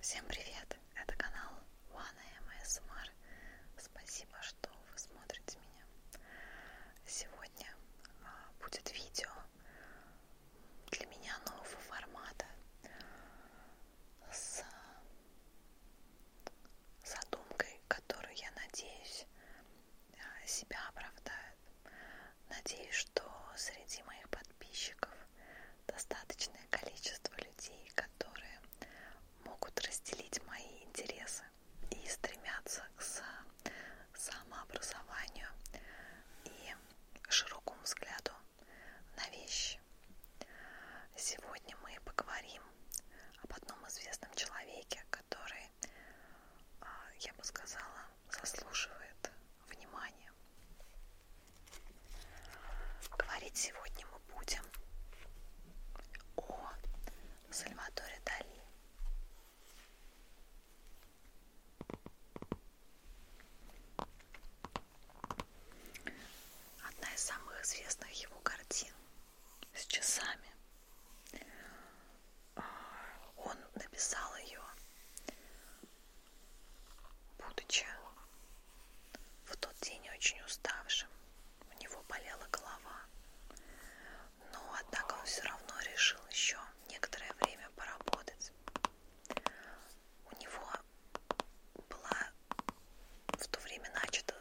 Всем привет! Это канал One ASMR. Спасибо, что вы смотрите меня. Сегодня а, будет видео для меня нового формата с задумкой, которую, я надеюсь, а, себя оправдает. Надеюсь, что среди моих подписчиков достаточное количество людей, которые могут разделить мои интересы и стремятся к самообразованию и широкому взгляду на вещи. Сегодня мы поговорим об одном известном человеке, который, а, я бы сказала, заслуживает вниманием. Говорить сегодня мы будем о Сальваторе Дали. Одна из самых известных его картин с часами. А, он написал ее Будучи в тот день очень уставшим, у него болела голова, но однако он все равно решил еще некоторое время поработать. У него была в то время начата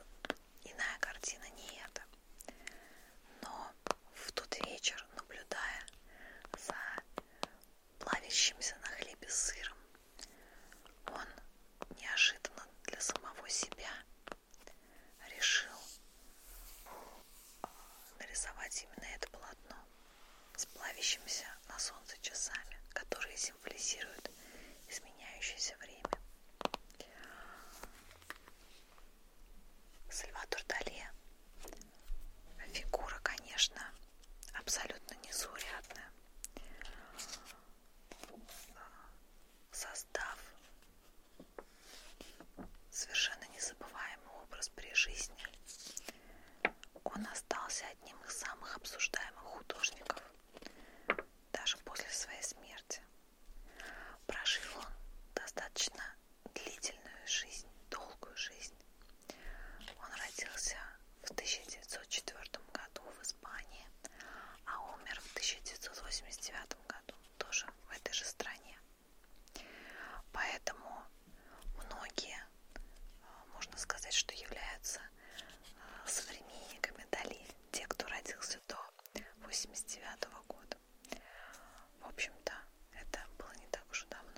иная картина, не эта. Но в тот вечер, наблюдая за плавящимся на хлебе с сыром. Он неожиданно для самого себя решил э, нарисовать именно это полотно с плавящимися на солнце часами, которые символизируют изменяющееся время. Сальвадор Дали Фигура, конечно, абсолютно незаурядная. Создав совершенно незабываемый образ при жизни, он остался одним из самых обсуждаемых художников даже после своей смерти. Прожил он достаточно длительную жизнь, долгую жизнь, он родился в 1904 году в Испании, а умер в 1989 году тоже в этой же стране. Поэтому многие, э, можно сказать, что являются э, современниками Дали, те, кто родился до 89 -го года. В общем-то, это было не так уж и давно.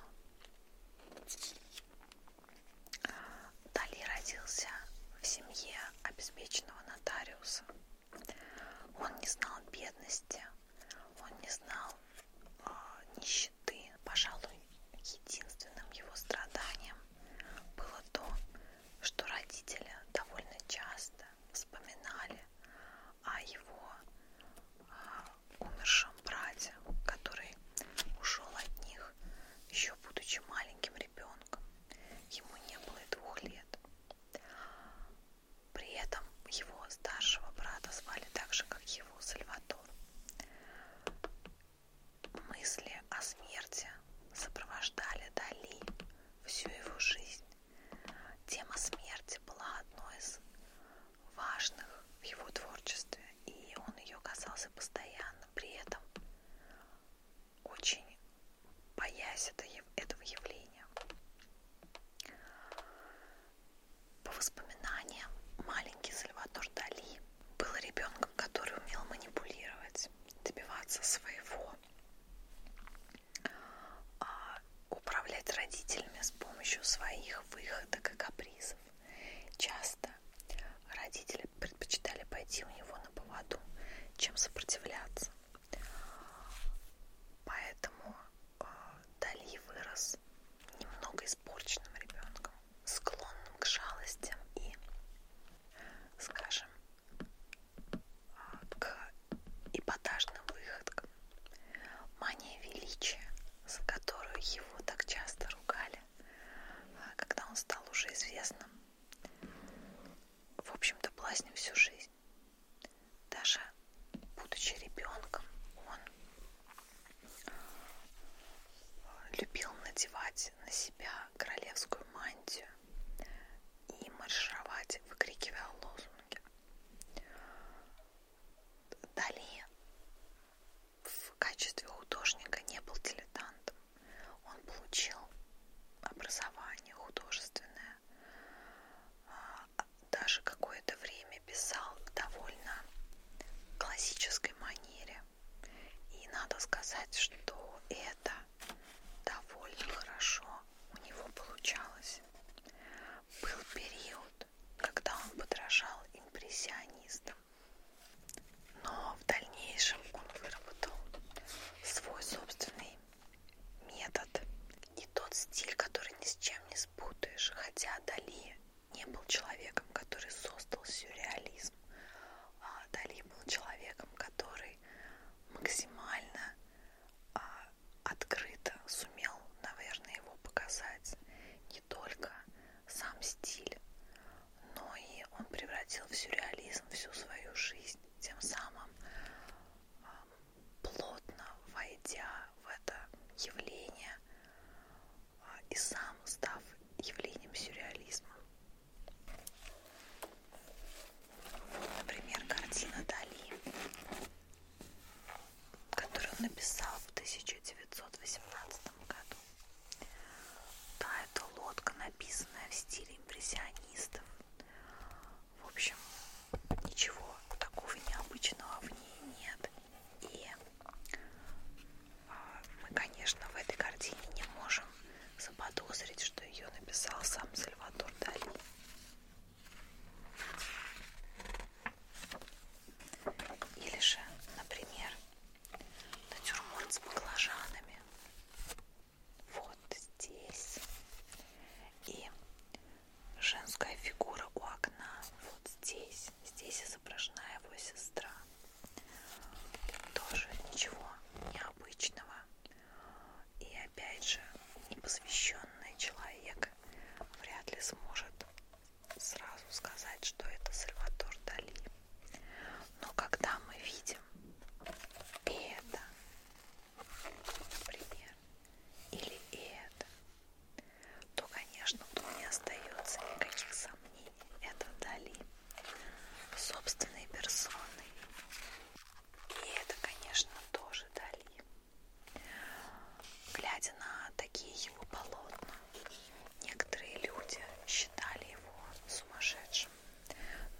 Дали родился в семье обеспеченного нотариуса. Он не знал бедности, он не знал э, нищеты. Пожалуй, единственным его страданием было то, что родители довольно часто вспоминали о его э, умершем брате, который ушел от них, еще будучи маленьким ребенком. Ему не было и двух лет. При этом его старшего брата звали так же, как его Сальватор. Мысли о смерти сопровождали Дали всю его жизнь. Тема смерти была одной из важных в его творчестве, и он ее касался постоянно, при этом очень боясь это, этого явления. По воспоминаниям, маленький Сальватор Дали был ребенком, который умел манипулировать, добиваться своего, а, управлять родителями с помощью своих выходок и капризов вопросов. Часто родители предпочитали пойти у него на поводу, чем сопротивляться. Поэтому а, Дали вырос немного испорченным ребенком, склонным к жалостям и, скажем, а, к эпатажным выходкам. Мания величия, за которую его так часто ругали, далее. А, когда он стал уже известным, в общем-то, блазнил всю жизнь. Даже будучи ребенком, он любил надевать на себя королевскую мантию и маршировать, выкрикивая лозунги. Далее в качестве художника не был дилетантом. Он получил образование художественное, а, даже какое-то время писал в довольно классической манере. И надо сказать, что это довольно хорошо у него получалось. Был период, когда он подражал импрессионистам. Но в дальнейшем он выработал свой собственный метод и тот стиль, который ни с чем не спутаешь. Хотя Дали не был человеком, который создал сюрреализм. А Дали был человеком, который максимально а, открыто сумел, наверное, его показать не только сам стиль, но и он превратил в сюрреализм всю свою жизнь, тем самым а, плотно войдя в это явление а, и сам став явлением сюрреализма. Вот, например, картина Дали, которую он написал в 1918 году. Да, это лодка, написанная в стиле импрессионистов. В общем, ничего такого необычного в ней нет. И а, мы, конечно, в этой картине не можем заподозрить, что ее написал сам Сальвадор Дали. Или же, например, натюрморт с баклажанами. Вот здесь. И женская фигура у окна. Вот здесь. Здесь изображена его сестра. Тоже ничего необычного. И опять же, непосвященный человек вряд ли сможет сразу сказать, что это Сальватор Дали. Но когда мы видим и это, например, или и это, то, конечно, тут не остается никаких сомнений. Это Дали собственной персоной. И это, конечно, тоже Дали. Глядя на такие его полотна, Некоторые люди считали его сумасшедшим,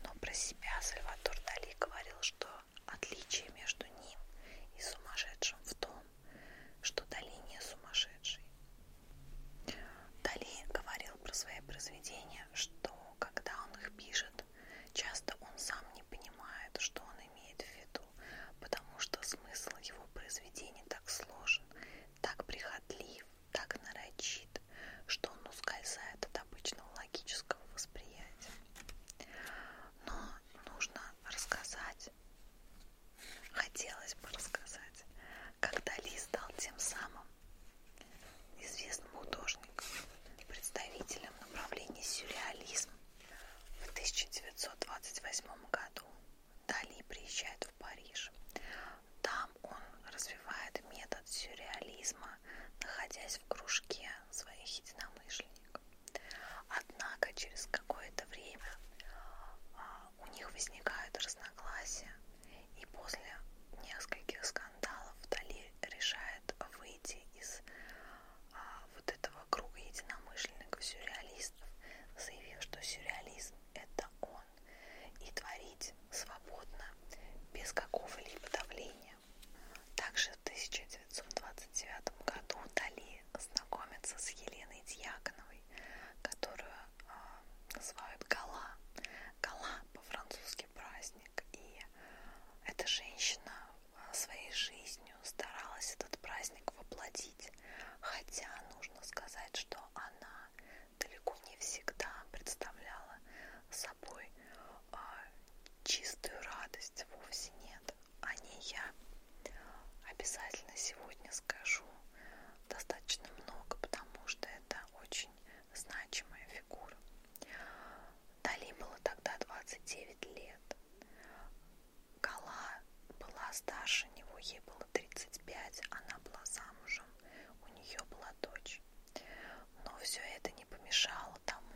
но про себя Сальватор Дали говорил, что отличие между ним и сумасшедшим в том, что Дали не сумасшедший. Дали говорил про свои произведения, что когда он их пишет, часто он сам не понимает, что он имеет в виду, потому что смысл его произведений так сложен, так прихотлив, так нарочит, что он ускользает от обычного логического восприятия. Но нужно рассказать, хотелось бы рассказать, когда Ли стал тем самым известным художником, представителем направления сюрреализм в 1928 году Дали приезжает в Париж. Там он развивает метод сюрреализма, находясь в кружке своих единомышленников. Однако через какое-то время а, у них возникают разногласия, и после нескольких скандалов Дали решает выйти из а, вот этого круга единомышленников сюрреалистов, заявив, что сюрреализм это он закон и творить свободно, без какого-либо давления. Также в 1929 году Дали знакомится с Еленой Дьяконовой, которую э, называют Гала. Гала по-французски праздник. И эта женщина а, своей жизнью старалась этот праздник воплотить. Хотя нужно сказать, что она далеко не всегда представляла собой э, чистую радость, вовсе нет. О ней я обязательно сегодня скажу достаточно много, потому что это очень значимая фигура. Дали было тогда 29 лет. Гала была старше него, ей было 35, она была замужем, у нее была дочь. Но все это не помешало тому,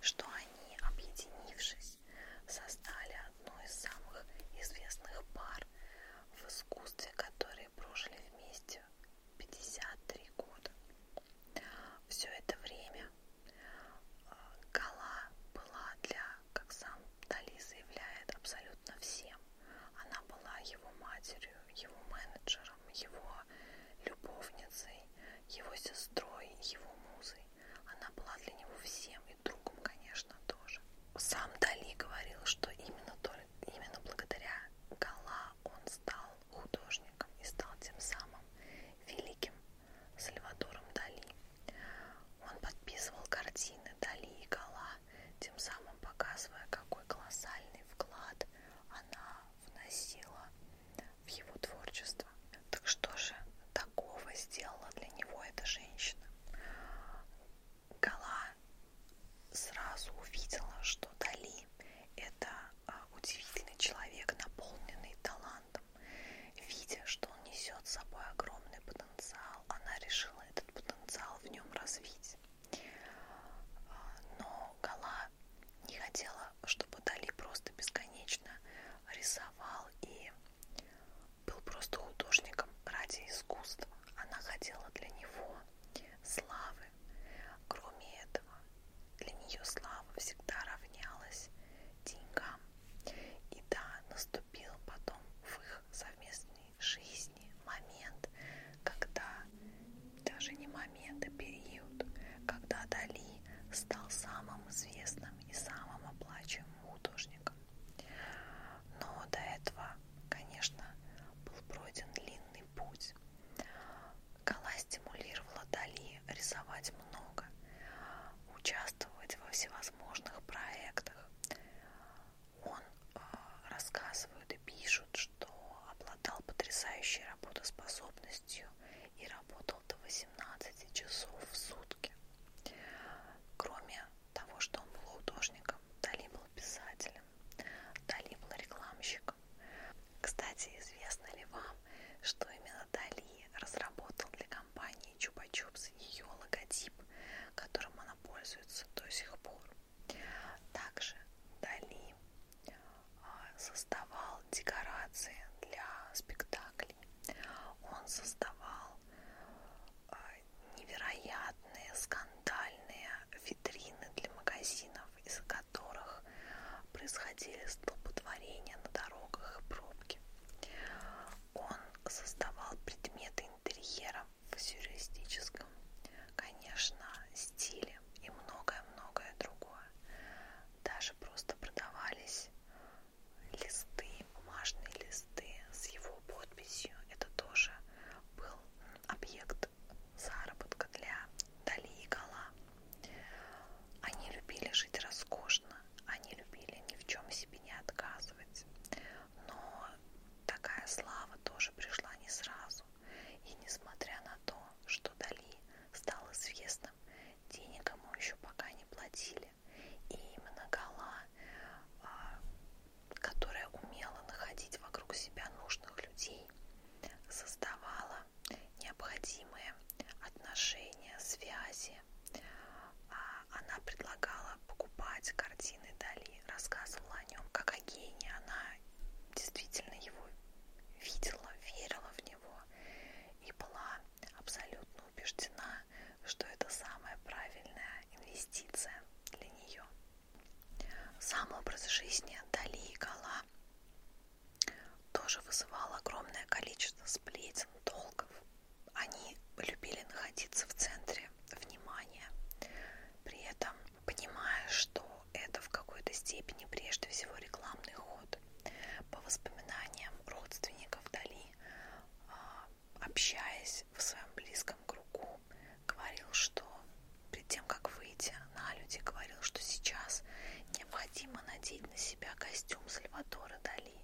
что они, объединившись, создали одну из самых известных пар в искусстве, которые прожили вместе 53 года. Все это время э, Гала была для, как сам Дали заявляет, абсолютно всем. Она была его матерью, его менеджером, его любовницей, его сестрой, его музой. Она была для него всем и другом, конечно, тоже. Сам Дали говорил, что именно, только, именно благодаря Гала он стал художником и стал тем самым великим Сальвадором Дали. Он подписывал картины Дали и Гала, тем самым показывая, какой колоссальный вклад она вносила в его творчество. Так что же такого сделала для него эта женщина? Гала сразу увидела, что Дали это а, удивительный человек, наполненный талантом, видя, что он несет с собой огромный потенциал потенциал, она решила этот потенциал в нем развить. А, но Гала не хотела, чтобы Дали просто бесконечно рисовал и был просто художником ради искусства. Она хотела для него славы. Кроме этого, для нее слава всегда равнялась деньгам. И да, наступил потом в их совместный жизни момент, когда, даже не момент, а период, когда Дали стал самым известным и самым оплачиваемым художником. Но до этого, конечно, был пройден длинный путь. Гала стимулировала Дали рисовать много, участвовать во всевозможных проектах, он э, рассказывает и пишет, что обладал потрясающей работоспособностью и работал до 18 часов в сутки. Кроме того, что он был художником, Дали был писателем, Дали был рекламщиком. Кстати, известно ли вам, что именно Дали разработал для компании Чупа-Чупс ее логотип, которым она она пользуется до сих пор. Также Дали а, создавал декорации для спектаклей. Он создавал а, невероятные скандальные витрины для магазинов, из которых происходили столпотворения на дорогах и пробки. Он создавал предметы интерьера футуристическом, конечно, стиле и многое-многое другое. Даже просто продавались листы, бумажные листы с его подписью. Это тоже был объект заработка для Дали и Гала. Они любили жить роскошно, они любили ни в чем себе не отказывать, но Такая слава тоже пришла не сразу, и несмотря на то, что Дали стал известным, денег ему еще пока не платили. И именно Гала, а, которая умела находить вокруг себя нужных людей, создавала необходимые отношения, связи. А, она предлагала покупать картины Дали и рассказывала о нем как о гении. Она действительно его видела, верила в него и была абсолютно убеждена, что это самая правильная инвестиция для нее. Сам образ жизни Дали и Гала тоже вызывал огромное количество сплетен, долгов. Они любили находиться в центре внимание, при этом понимая, что это в какой-то степени прежде всего рекламный ход. По воспоминаниям родственников Дали, а, общаясь в своем близком кругу, говорил, что перед тем, как выйти на люди, говорил, что сейчас необходимо надеть на себя костюм Сальвадора Дали,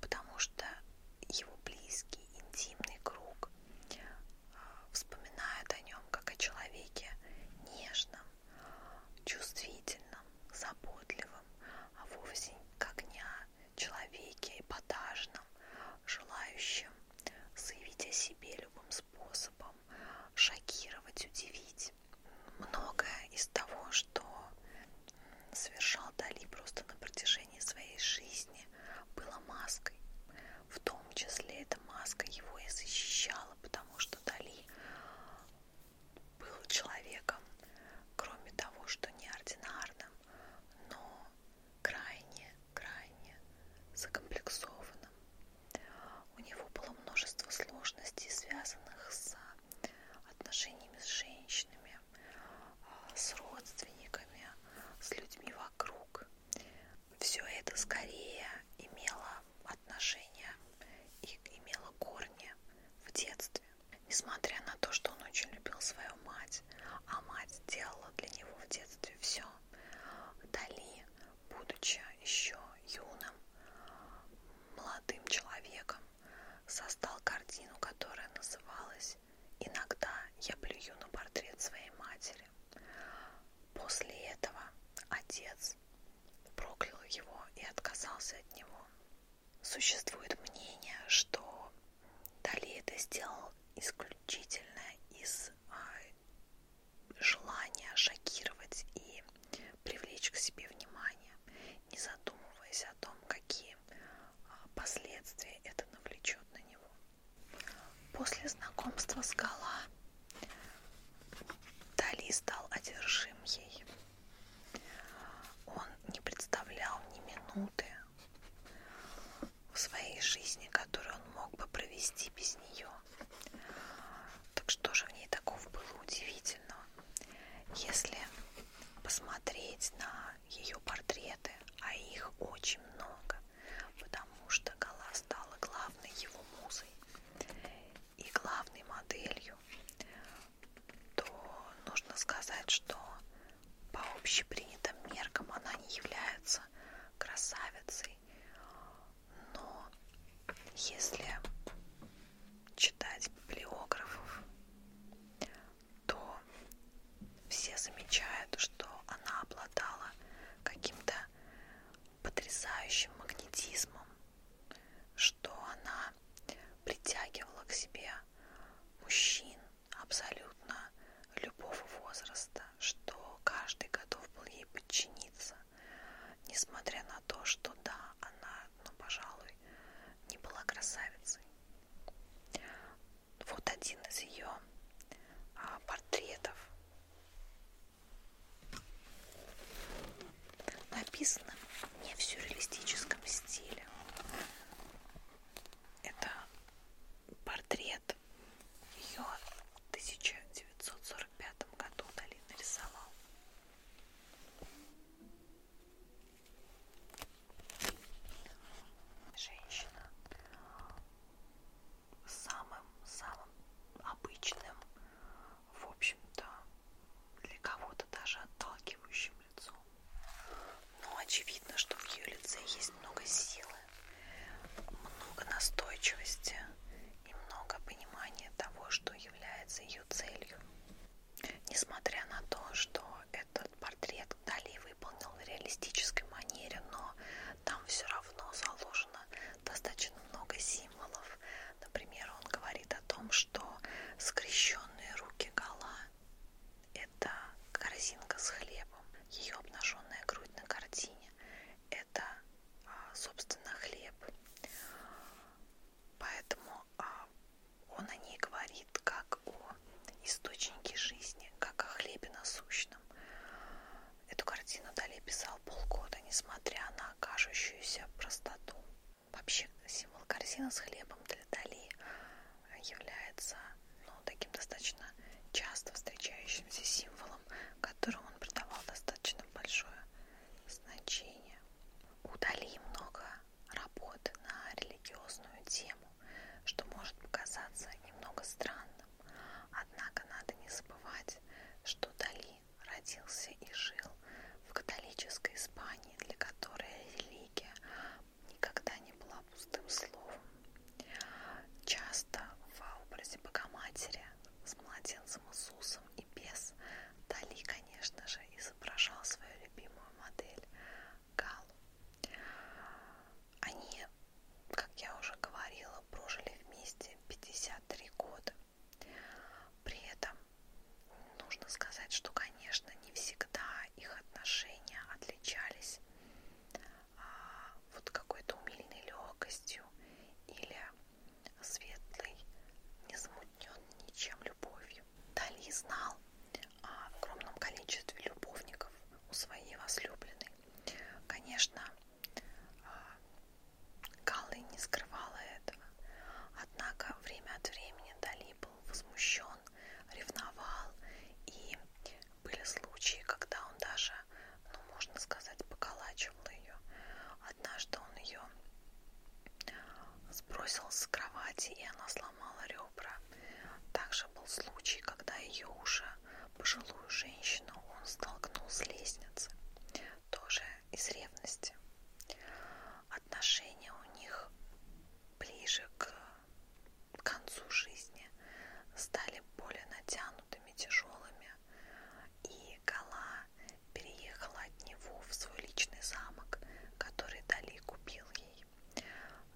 потому что его близкий, интимный круг а, вспоминают о нем как о человеке нежном, чувствительном, заботливом, а вовсе как не о человеке эпатажном, желающем заявить о себе любым способом, шокировать, удивить. Многое из того, что совершал Дали просто на протяжении протяжении своей жизни было маской. В том числе эта маска его и защищала, потому что Дали был человеком, кроме того, что неординарным, но крайне, крайне закомплексованным. У него было множество сложностей, связанных с отношениями с женщинами, а, с родственниками, с людьми вокруг. Все это скорее имело отношение и имело корни в детстве. Несмотря на то, что он очень любил свою мать, а мать делала для него в детстве все, Дали, будучи еще юным, молодым человеком, создал картину, которая называлась Иногда я плюю на портрет своей матери. После этого отец проклял его и отказался от него. Существует мнение, что Дали это сделал исключительно из а, желания шокировать и привлечь к себе внимание, не задумываясь о том, какие а, последствия это навлечет на него. После знакомства с Гала Дали стал одержим ей. Он не представлял ни минуты в своей жизни, которую он мог бы провести без нее. Так что же в ней такого было удивительного? Если посмотреть на ее портреты, а их очень много, потому что Гала стала главной его музой и главной моделью, то нужно сказать, что по общепринятым меркам она не является красавицей, но если читать библиографов, то все замечают, что она обладала каким-то потрясающим магнетизмом, что она притягивала к себе мужчин абсолютно любого возраста, что каждый готов был ей подчиниться, несмотря на то, что да, она, ну, пожалуй, не была красавицей. Вот один из ее а, портретов. Написано не в сюрреалистическом стиле. Это портрет ее в 1945 году Долин нарисовал женщина самым-самым обычным, в общем-то, для кого-то даже отталкивающим лицом. Но очевидно, что в ее лице есть много силы, много настойчивости и много понимания того, что является ее целью. Несмотря на то, что этот портрет Дали выполнил в реалистической манере, но там все равно заложено достаточно много символов. Например, он говорит о том, что скрещенные руки Гала – это корзинка с хлебом, ее обнаженная грудь на картине – это, а, собственно, хлеб. Поэтому а, он о ней говорит как о источники жизни, как о хлебе насущном. Эту картину Дали писал полгода, несмотря на кажущуюся простоту. Вообще символ корзины с хлебом для Дали является ну, таким достаточно часто встречающимся символом, которому он придавал достаточно большое значение. У Дали много работ на религиозную тему тому, что может показаться немного странным. Однако надо не забывать, что Дали родился и жил в католической Испании, для которой религия никогда не была пустым словом. Часто в образе Богоматери с младенцем Иисусом и без Дали, конечно же, изображал свою любимую модель Галу. Они, как я уже говорила, прожили вместе 53 года. При этом нужно сказать, что, конечно, не всегда их отношения отличались а, вот какой-то умильной легкостью или светлой, незамутненной ничем любовью. Дали знал, о огромном количестве любовников у своей возлюбленной. Конечно, а, Каллы не скрывала этого, однако время от времени Дали был возмущен, ревновал, и были случаи, когда он даже, ну, можно сказать, поколачивал ее. Однажды он ее сбросил с кровати, и она сломала ребра. Также был случай, когда ее уже пожилую женщину он столкнул с лестницы, тоже из ревности. Отношения у них ближе к концу жизни стали более натянутыми, тяжелыми, и Гала переехала от него в свой личный замок, который Дали купил ей.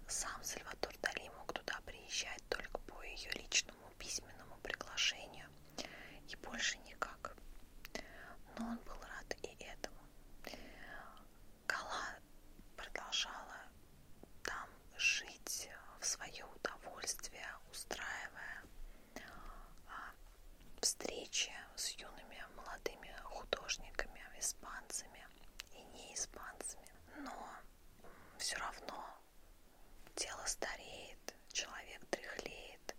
Сам Сальватор Дали мог туда приезжать только по ее личному письменному приглашению и больше никак. Но он был рад и этому. Кала продолжала там жить в свое удовольствие, устраивая а, встречи с юными молодыми художниками, испанцами и неиспанцами. Но все равно тело стареет, человек дряхлеет,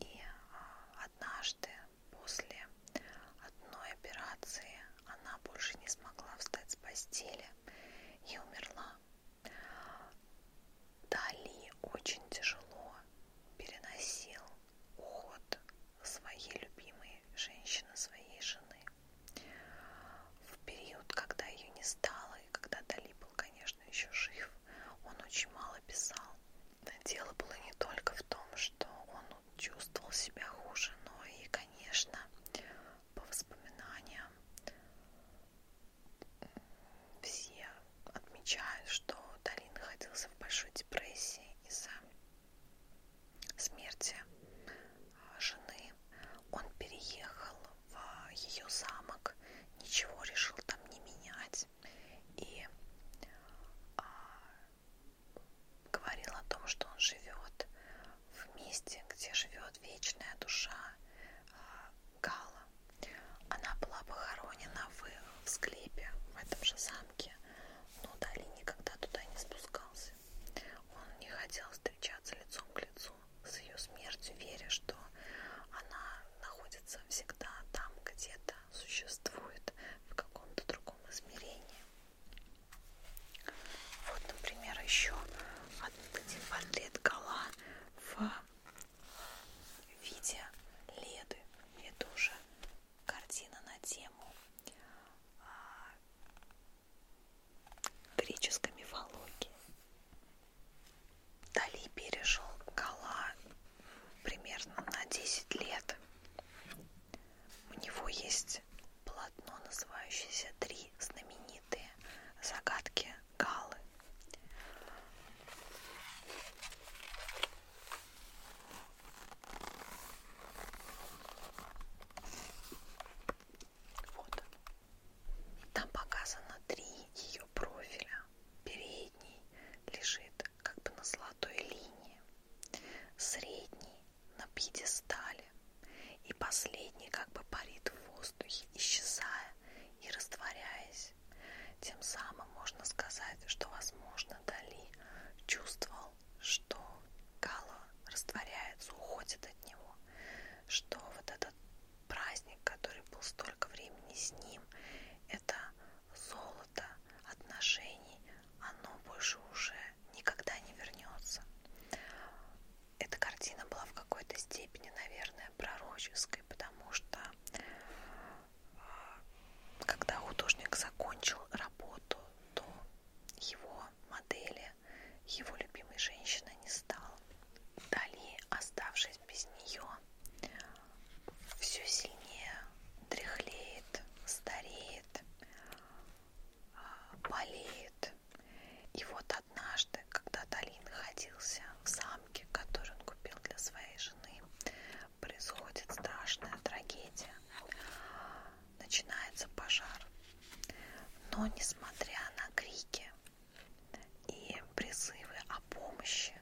и а, однажды после одной операции она больше не смогла встать с постели и умерла. Дали очень тяжело переносил уход своей любимой женщины, своей жены. В период, когда ее не стало, и когда Дали был, конечно, еще жив, он очень мало писал. Дело было не только в том, что он чувствовал себя хуже, но и, конечно, по воспоминаниям все отмечают, что Дали находился в большой депрессии из-за смерти а, жены он переехал в ее замок, ничего решил там не менять и а, говорил о том, что он живет в месте, где живет вечная душа а, Гала. Она была похоронена в, в склепе в этом же замке, но Дали никогда туда не спускался. Он не хотел встречаться лицом к лицу с ее смертью, веря, что она находится всегда там, где-то существует, в каком-то другом измерении. Вот, например, еще один портрет Гала в виде Леды. Это уже картина на тему а, греческой мифологии. Дали пережил Кала примерно на 10 лет. У него есть полотно, называющееся «Три знаменитые загадки Галы». Вот он. Там показано три ее профиля. Передний лежит как бы на золотой линии, средний на пьедестале и последний как бы парит в воздухе, исчезая и растворяясь. Тем самым можно сказать, что, возможно, Дали чувствовал, что Гала растворяется, уходит от него что вот этот праздник, который был столько времени с ним, это золото отношений, оно больше уже никогда не вернется. Эта картина была в какой-то степени, наверное, пророческой, потому что а, когда художник закончил работу, то его модели его любимой женщины не стал. Дали, оставшись без нее, все сильнее дряхлеет, стареет, а, болеет. И вот однажды, когда Дали находился в замке, который он купил для своей жены, происходит страшная трагедия начинается пожар. Но несмотря на крики и призывы о помощи,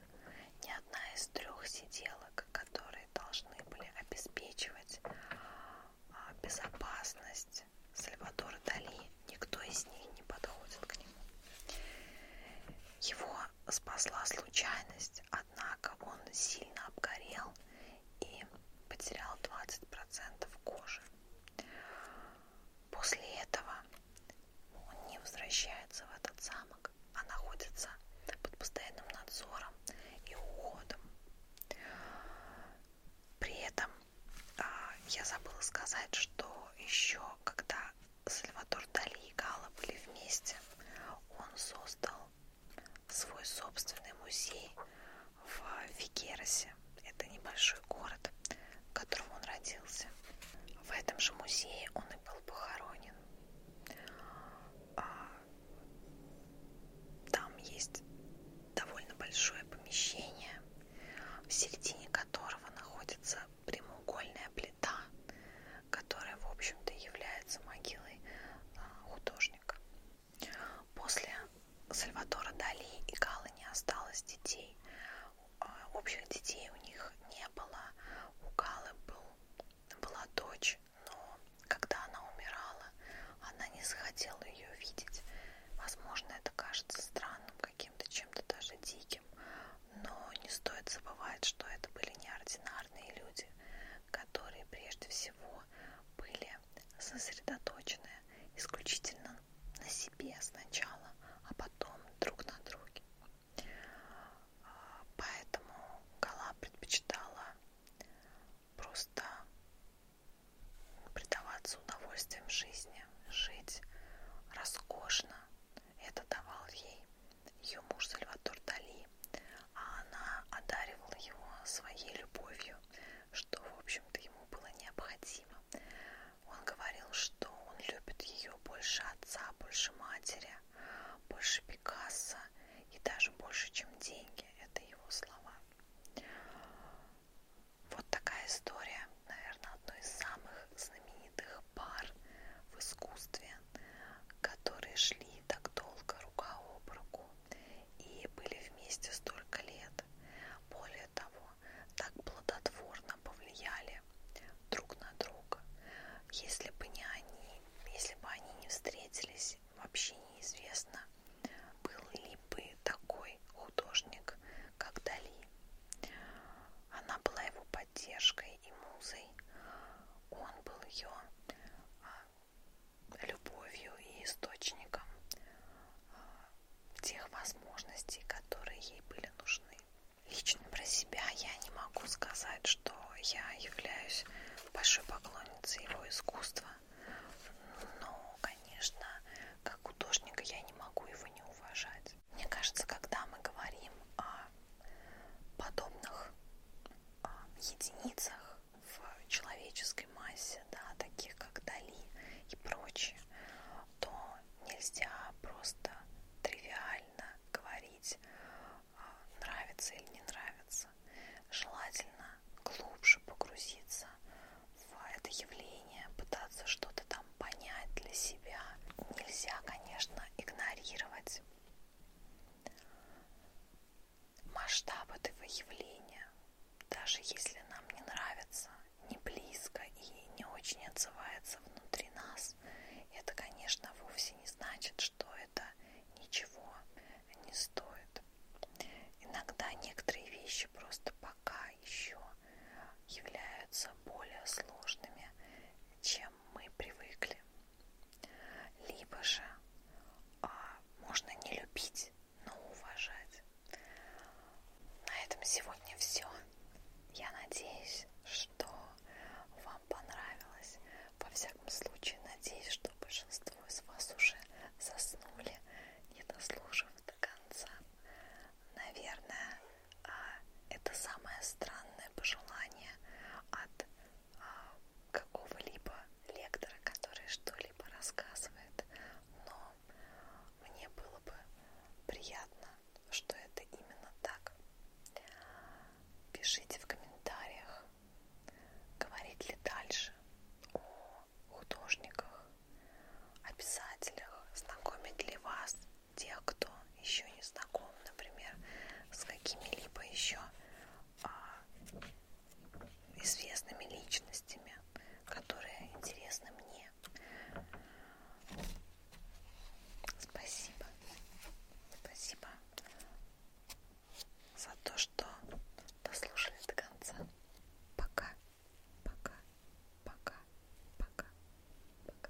ни одна из трех сиделок, которые должны были обеспечивать а, безопасность Сальвадора Дали, никто из них не подходит к нему. Его спасла случайность, однако он сильно обгорел и потерял 20% кожи. После этого он не возвращается в этот замок, а находится под постоянным надзором и уходом. При этом а, я забыла сказать, что еще когда Сальватор Дали и Гала были вместе, он создал свой собственный музей в Фигерасе. Это небольшой город, в котором он родился. В этом же музее он и был похоронен. А, там есть довольно большое помещение, в середине которого находится прямоугольная плита, которая, в общем-то, является могилой а, художника. После Сальватора Дали и Гала не осталось детей. А, общих детей у них не было. У Галы был, была дочь, но когда она умирала, она не захотела ее видеть. Возможно, это кажется странным, каким-то чем-то даже диким, но не стоит забывать, что это были неординарные люди, которые прежде всего были спокойное, сосредоточенное исключительно на себе сначала, а потом друг на друге. А, поэтому Гала предпочитала просто предаваться удовольствием жизни, жить роскошно. Это давал ей ее муж Сальватор Дали, а она одаривала его своей любовью, что, в общем-то, ему было необходимо. Он говорил, что он любит ее больше отца, больше матери, больше Пикассо и даже больше, чем деньги. Это его слова. Вот такая история, наверное, одной из самых знаменитых пар в искусстве, которые шли так долго рука об руку и были вместе столько лет. Более того, так плодотворно повлияли друг на друга. Если бы не они, если бы они не встретились, вообще неизвестно, был ли бы такой художник, как Дали. Она была его поддержкой и музой. Он был ее любовью и источником а, тех возможностей, которые ей были нужны. Лично про себя я не могу сказать, что я являюсь большой поклонницей его искусства, но, конечно, как художника я не могу его не уважать. Мне кажется, когда мы говорим о подобных а, единицах, в человеческой массе, да, таких как Дали и прочие, то нельзя просто тривиально говорить, а, нравится или не нравится. Желательно глубже погрузиться в это явление, пытаться что-то там понять для себя. Нельзя, конечно, игнорировать масштаб этого явления, даже если нам не нравится, не близко и не очень отзывается внутри нас, это, конечно, вовсе не значит, что это ничего не стоит. Иногда некоторые вещи просто пока еще являются более сложными, чем мы привыкли. Либо же а, можно не любить но ну, уважать. На этом сегодня все. Я надеюсь, что вам понравилось. Во всяком случае, надеюсь, что большинство из вас уже заснули, не дослушав до конца. Наверное, а, это самое странное пожелание от а, какого-либо лектора, который что-либо рассказывает, но мне было бы приятно, что это именно так. Пишите в комментариях, говорить ли дальше о художниках, о писателях, знакомить ли вас тех, кто еще не знаком, например, с какими-либо еще а, известными личностями, которые интересны мне. Спасибо. Спасибо за то, что дослушали до конца. Пока. Пока. Пока. Пока. Пока.